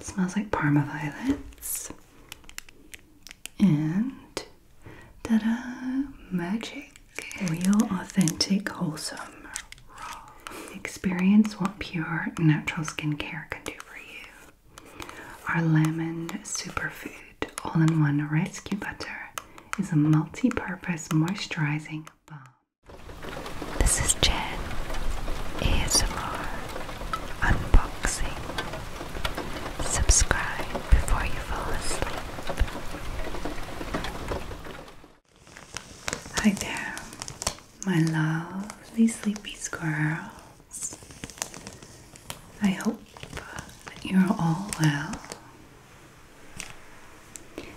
smells like Parma violets and da da magic real authentic wholesome raw experience what pure natural skincare can do for you our lemon superfood all-in-One Rescue Butter is a multi-purpose moisturizing balm. This is Jen ASMR Unboxing. Subscribe before you fall asleep. Hi there, my lovely sleepy squirrels. I hope hope you're all well.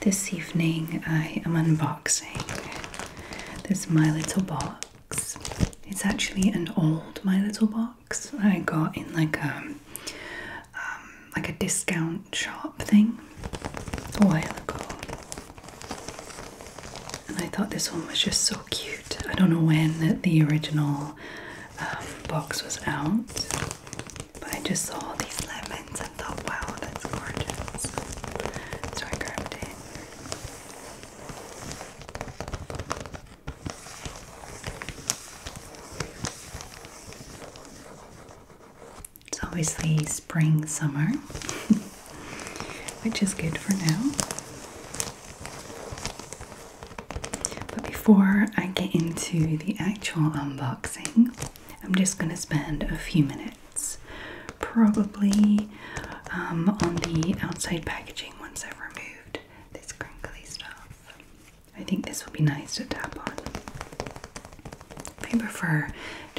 This evening I am unboxing this My Little Box. It's actually an old My Little Box I got in like a um, like a discount shop thing a while ago. And I thought this one was just so cute. I don't know when the original um, box was out, but I just saw all these lemons and thought, wow, that's gorgeous. So I grabbed it. It's obviously spring, summer, which is good for now. But before I get into the actual unboxing, I'm just going to spend a few minutes probably um, on the outside packaging once I've removed this crinkly stuff. I think this will be nice to tap on. If you prefer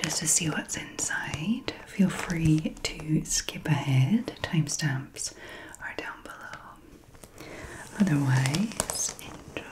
just to see what's inside, feel free to skip ahead. Timestamps are down below. Otherwise, enjoy.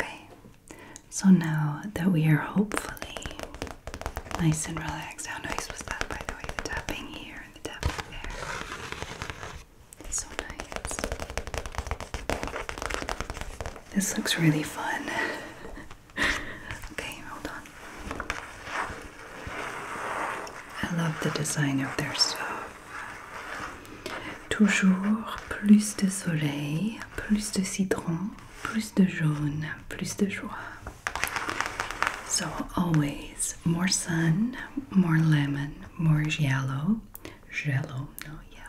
Okay, so now that we are hopefully nice and relaxed, how nice was that by the way? The tapping here and the tapping there. It's so nice. This looks really fun. okay, hold on. I love the design of their stuff. Toujours plus de soleil, plus de citron, plus de jaune, plus de joie. So, always more sun, more lemon, more yellow, jello, no, yeah,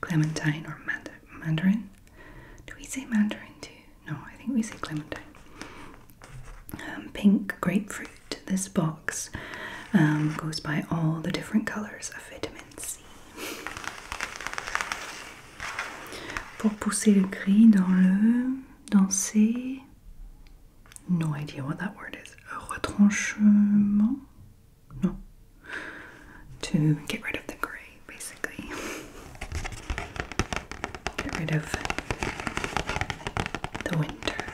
Clementine, or Mandarin. Do we say Mandarin too? No, I think we say Clementine. Um, pink grapefruit. This box um, goes by all the different colours of vitamin C. Pour pousser le gris dans le. danser. No idea what that word is. Retranchement? no, to get rid of the gray basically. Get rid of the winter.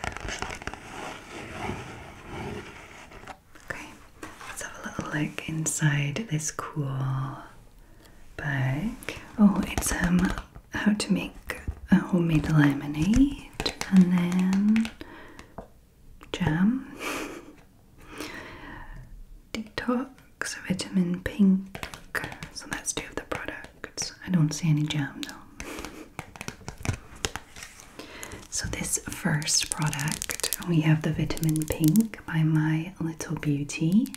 Okay, let's have a little look inside this cool bag. Oh, it's um how to make a homemade lemonade and then jam, detox, vitamin pink. So that's two of the products. I don't see any jam though. So, this first product we have the vitamin pink by My Little Beauty,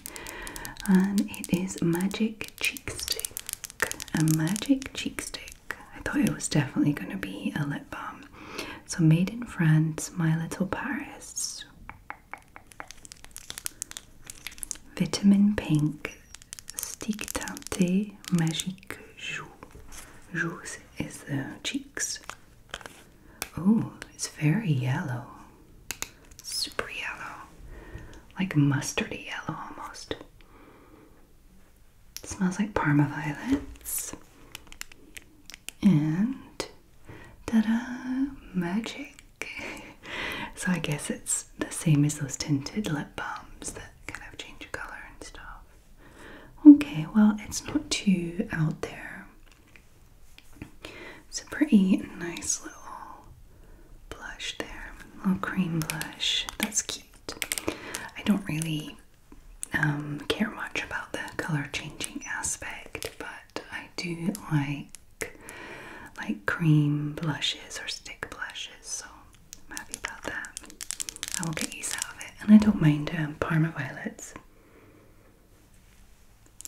and it is Magic Cheek Stick. A magic cheek stick I thought it was definitely going to be a lip balm. So made in France, My Little Paris. Vitamin Pink Stick Teinté Magique Joue. Joue is the cheeks. Oh, it's very yellow. Super yellow. Like mustardy yellow almost smells like Parma violets. And da da magic. so I guess it's the same as those tinted lip balms that kind of change color and stuff. Okay, well it's not too out there. It's a pretty nice little blush there, little cream blush. That's cute. I don't really um, care much about the color changing aspect, but I do like like cream blushes or stick blushes, so I'm happy about that. I will get used out of it, and I don't mind um, Parma violets.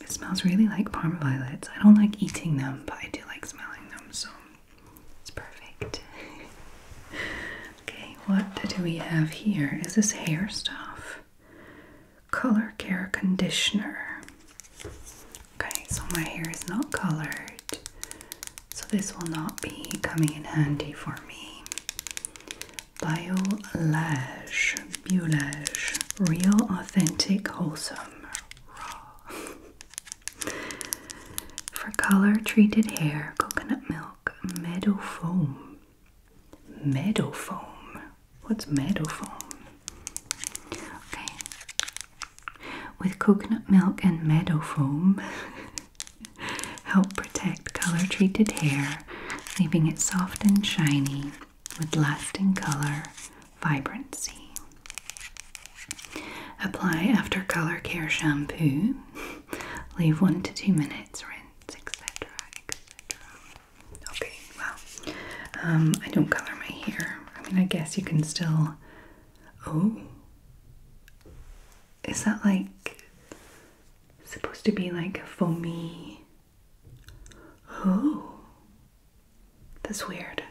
It smells really like Parma violets. I don't like eating them, but I do like smelling them, so it's perfect. Okay, what do we have here? Is this hair stuff? Color care conditioner. Okay, so my hair is not colored, so this will not be coming in handy for me. Biolash, Biolash, real, authentic, wholesome, raw. For color treated hair, coconut milk, meadow foam meadow foam. What's meadow foam? Okay. With coconut milk and meadow foam, help protect color treated hair, leaving it soft and shiny with lasting color vibrancy. Apply after color care shampoo. Leave one to two minutes its etc., etc. Okay, well, um, I don't color my hair. I mean, I guess you can still. Oh, is that like supposed to be like a foamy? Oh, that's weird.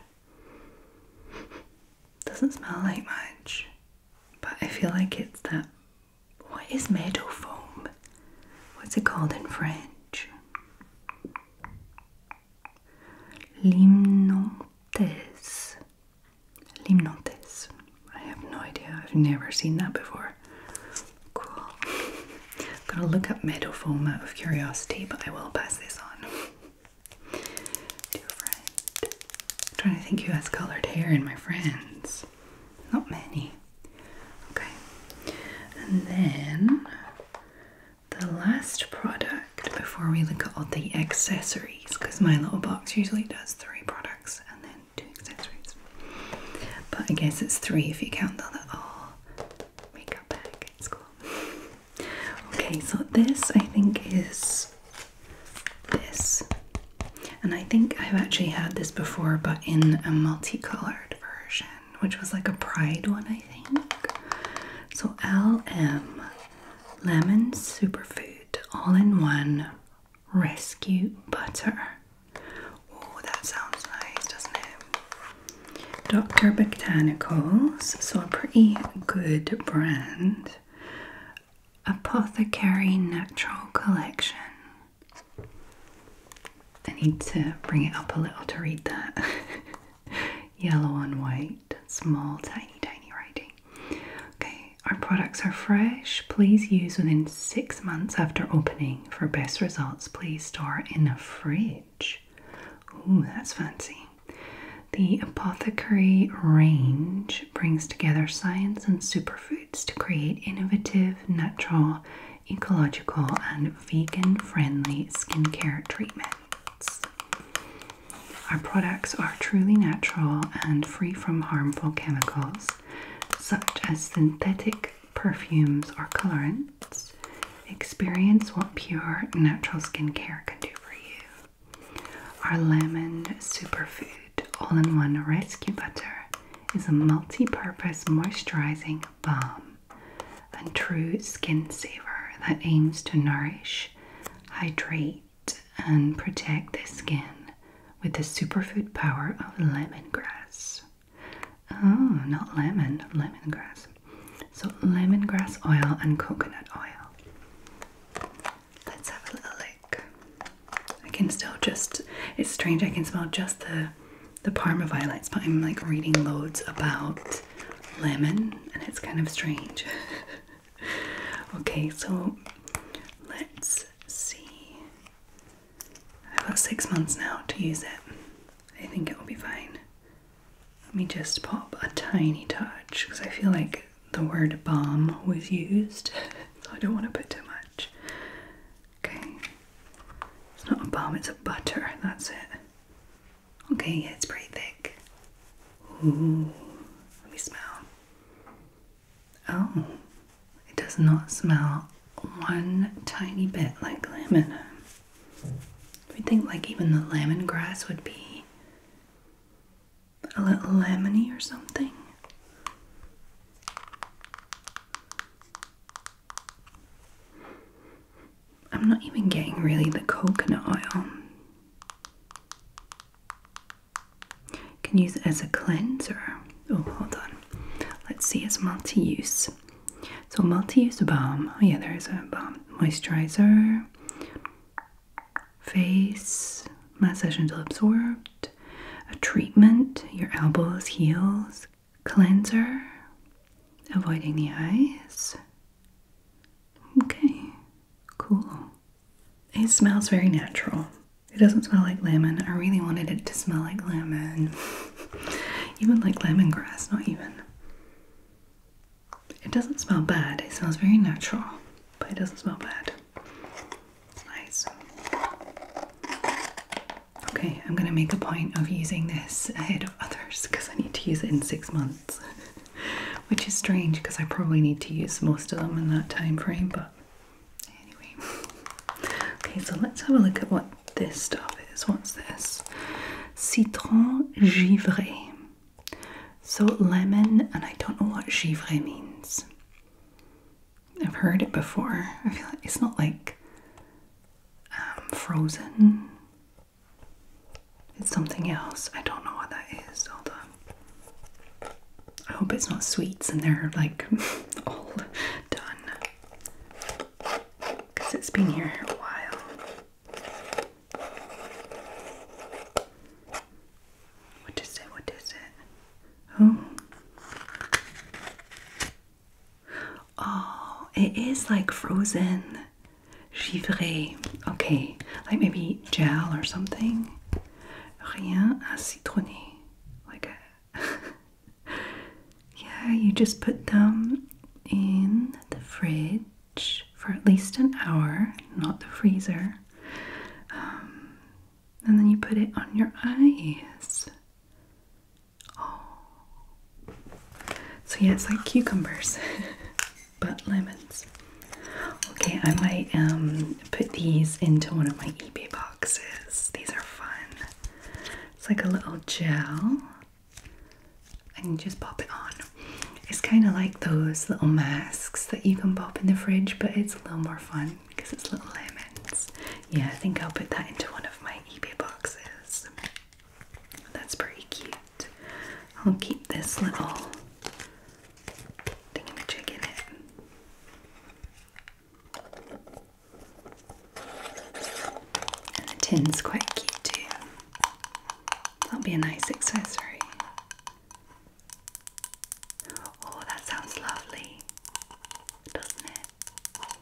Doesn't smell like much, but I feel like it's that what is meadow foam? What's it called in French? Limnantes. Limnantes. I have no idea. I've never seen that before. Cool. I'm gonna look up meadow foam out of curiosity, but I will pass this on to a friend. trying to think who has coloured hair in my friends. Not many. Okay. And then the last product before we look at all the accessories, because my little box usually does three products and then two accessories. But I guess it's three if you count that all makeup bag. It's cool. Okay, so this I think is this. And I think I've actually had this before, but in a multicolored version, which was like a pride one, I think. So LM Lemon Superfood All in One Rescue Butter. Oh, that sounds nice, doesn't it? Dr. Botanicals, so a pretty good brand. Apothecary Natural Collection. I need to bring it up a little to read that. Yellow on white, small, tiny, tiny writing. Okay, our products are fresh. Please use within six months after opening. For best results, please store in a fridge. Ooh, that's fancy. The apothecary range brings together science and superfood to create innovative, natural, ecological, and vegan friendly skincare treatments. Our products are truly natural and free from harmful chemicals such as synthetic perfumes or colorants. Experience what pure natural skincare can do for you. Our lemon superfood all-in-one rescue butter is a multi-purpose moisturizing balm and true skin saver that aims to nourish, hydrate, and protect the skin with the superfood power of lemongrass. Oh, not lemon, lemongrass. So lemongrass oil and coconut oil. Let's have a little look. I can still just it's strange I can smell just the the parma violets, but I'm like reading loads about lemon and it's kind of strange. okay, so let's see. I've got six months now to use it. I think it will be fine. Let me just pop a tiny touch because I feel like the word balm was used, so I don't want to put too much. Okay, it's not a balm, it's a butter, that's it. Okay, yeah, it's pretty thick. Ooh, let me smell. Oh, it does not smell one tiny bit like lemon. I would think like even the lemongrass would be a little lemony or something. I'm not even getting really the coconut oil. can use it as a cleanser. Oh, hold on. Let's see, it's multi use. So, multi use balm. Oh, yeah, there is a balm. Moisturizer, face, massage until absorbed, a treatment, your elbows, heels, cleanser, avoiding the eyes. Okay, cool. It smells very natural. It doesn't smell like lemon. I really wanted it to smell like lemon. even like lemongrass, not even. It doesn't smell bad. It smells very natural, but it doesn't smell bad. Nice. Okay, I'm going to make a point of using this ahead of others because I need to use it in six months, which is strange because I probably need to use most of them in that time frame. But anyway, okay, so let's have a look at what this stuff is. What's this? Citron givré. So lemon, and I don't know what givré means. I've heard it before. I feel like it's not like um, frozen. It's something else. I don't know what that is. Hold on. I hope it's not sweets and they're like all done. Because it's been here a while. What is it? What is it? Oh. it is like frozen givré. Okay, like maybe gel or something. Rien à citronner. Like yeah, you just put them in the fridge for at least an hour, not the freezer. Um, and then you put it on your eyes. Oh. So, yeah, it's like cucumbers, but lemons. Okay, I might um, put these into one of my eBay boxes. These are fun. It's like a little gel. And you just pop it on. It's kind of like those little masks that you can pop in the fridge, but it's a little more fun because it's little lemons. Yeah, I think I'll put that into one of my eBay boxes. That's pretty cute. I'll keep this little thingamajig in it. And the tin's quite cute too. That'll be a nice accessory. Oh, that sounds lovely, doesn't it? Oh,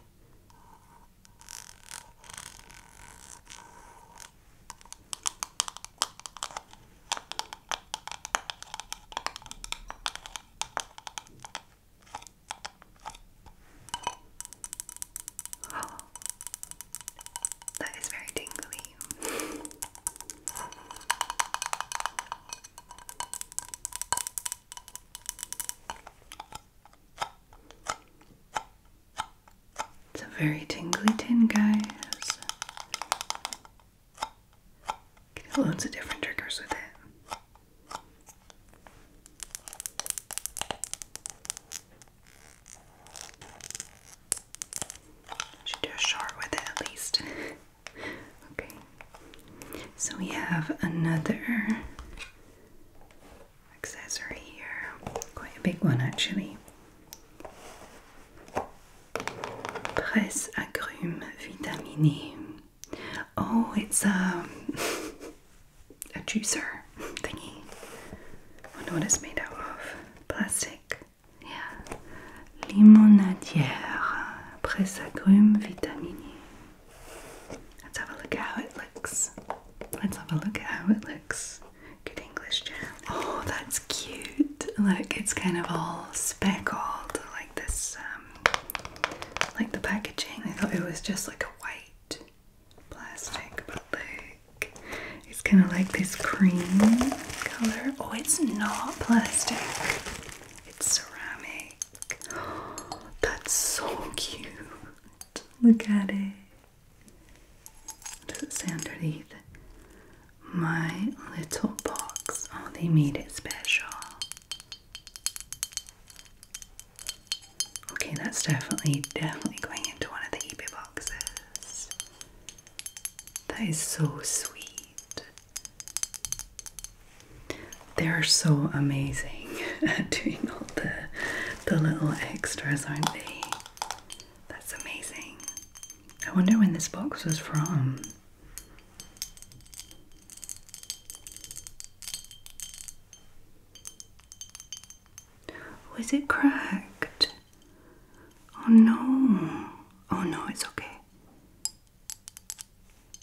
that is very tingly. It's a very tingly tin, guys. Get loads of different triggers with it. Should do a short with it at least. okay, so we have another accessory here, quite a big one actually. Presse agrume vitaminée. Oh, it's um, a, a juicer thingy. I wonder what it's made out of. Plastic. Yeah. Limonadière, presse agrumes Let's have a look at how it looks. Let's have a look at how it looks. Good English jam. Oh, that's cute. Look, it's kind of all speckled, like this, um, like the packaging. I thought it was just like a white plastic, but look, it's kind of like this cream color. Oh, it's not plastic. It's ceramic. Oh, that's so cute. Look at it. What underneath? My little box. Oh, they made it special. Okay, that's definitely, definitely going into one of the eBay boxes. That is so sweet. They are so amazing at doing all the the little extras, aren't they? That's amazing. I wonder when this box was from. Was oh, it cracked? Oh no. Oh no, it's okay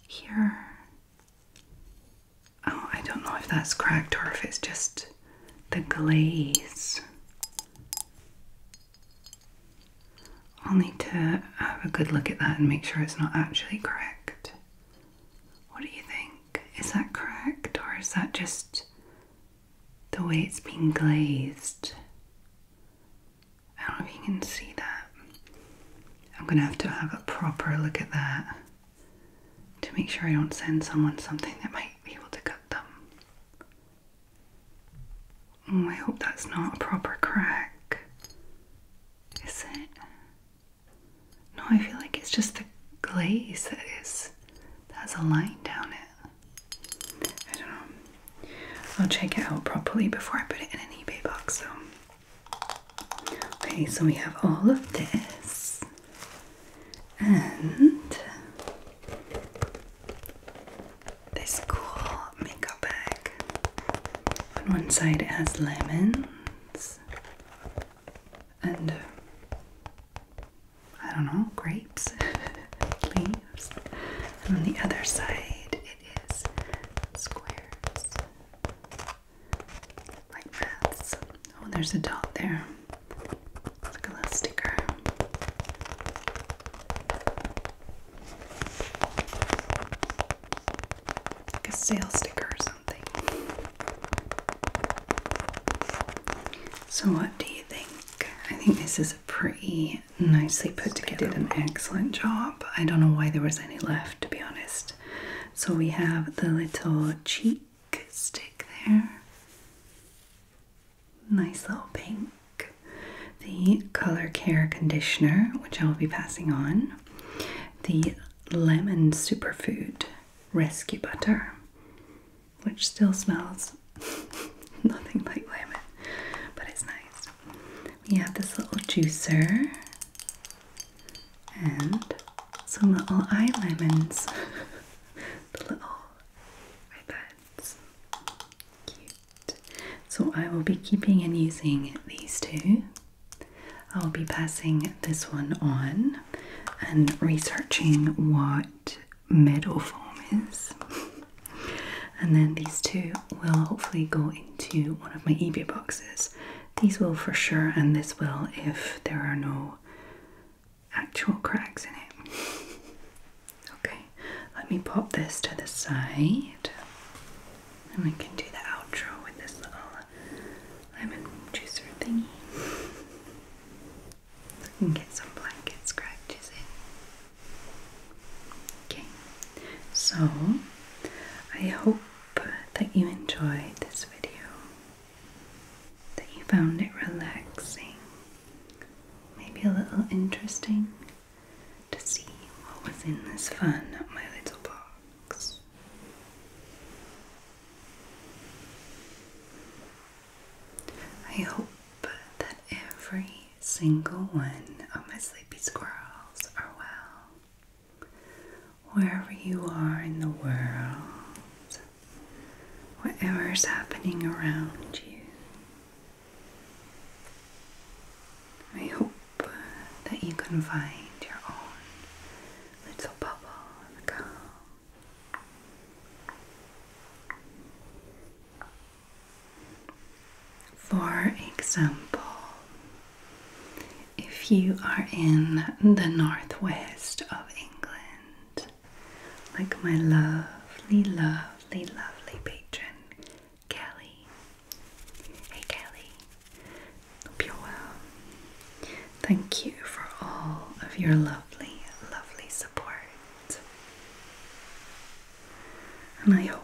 here. Oh, I don't know if that's cracked or if it's just the glaze. I'll need to have a good look at that and make sure it's not actually cracked. What do you think? Is that cracked or is that just the way it's being glazed? I don't know if you can see that. I'm gonna have to have a proper look at that to make sure I don't send someone something that might be able to cut them. I hope that's not a proper crack. Is it? No, I feel like it's just the glaze that is that has a line down it. I don't know. I'll check it out properly before I put it in an eBay box So, Okay, so we have all of this and this cool makeup bag. On one side it has lemons and I don't know, grapes, leaves. And on the other side Oh, there's a dot there. Look at that sticker. a sale sticker or something. So, what do you think? I think this is a pretty nicely put together. did an excellent job. I don't know why there was any left, to be honest. So we have the little cheek stick there. Nice little pink. The color care conditioner, which I will be passing on. The lemon superfood rescue butter, which still smells nothing like lemon, but it's nice. We have this little juicer and some little eye lemons. the little iPads. Cute. So I will be keeping and using these two. I'll be passing this one on and researching what metal foam is. and then these two will hopefully go into one of my eBay boxes. These will for sure, and this will if there are no actual cracks in it. okay, let me pop this to the side, and we can do the outro with this little lemon juicer thingy. I can get some blanket scratches in. Okay, so I hope that you enjoyed this video, that you found it relaxing, maybe a little interesting to see what was in this fun my little box. I hope that every single one of my sleepy squirrels are well. Wherever you are in the world, whatever's happening around you, I hope that you can find your own little bubble of calm. For example, if you are in the northwest of England, like my lovely, lovely, lovely patron, Kelly. Hey, Kelly. Hope you're well. Thank you for all of your lovely, lovely support. And I hope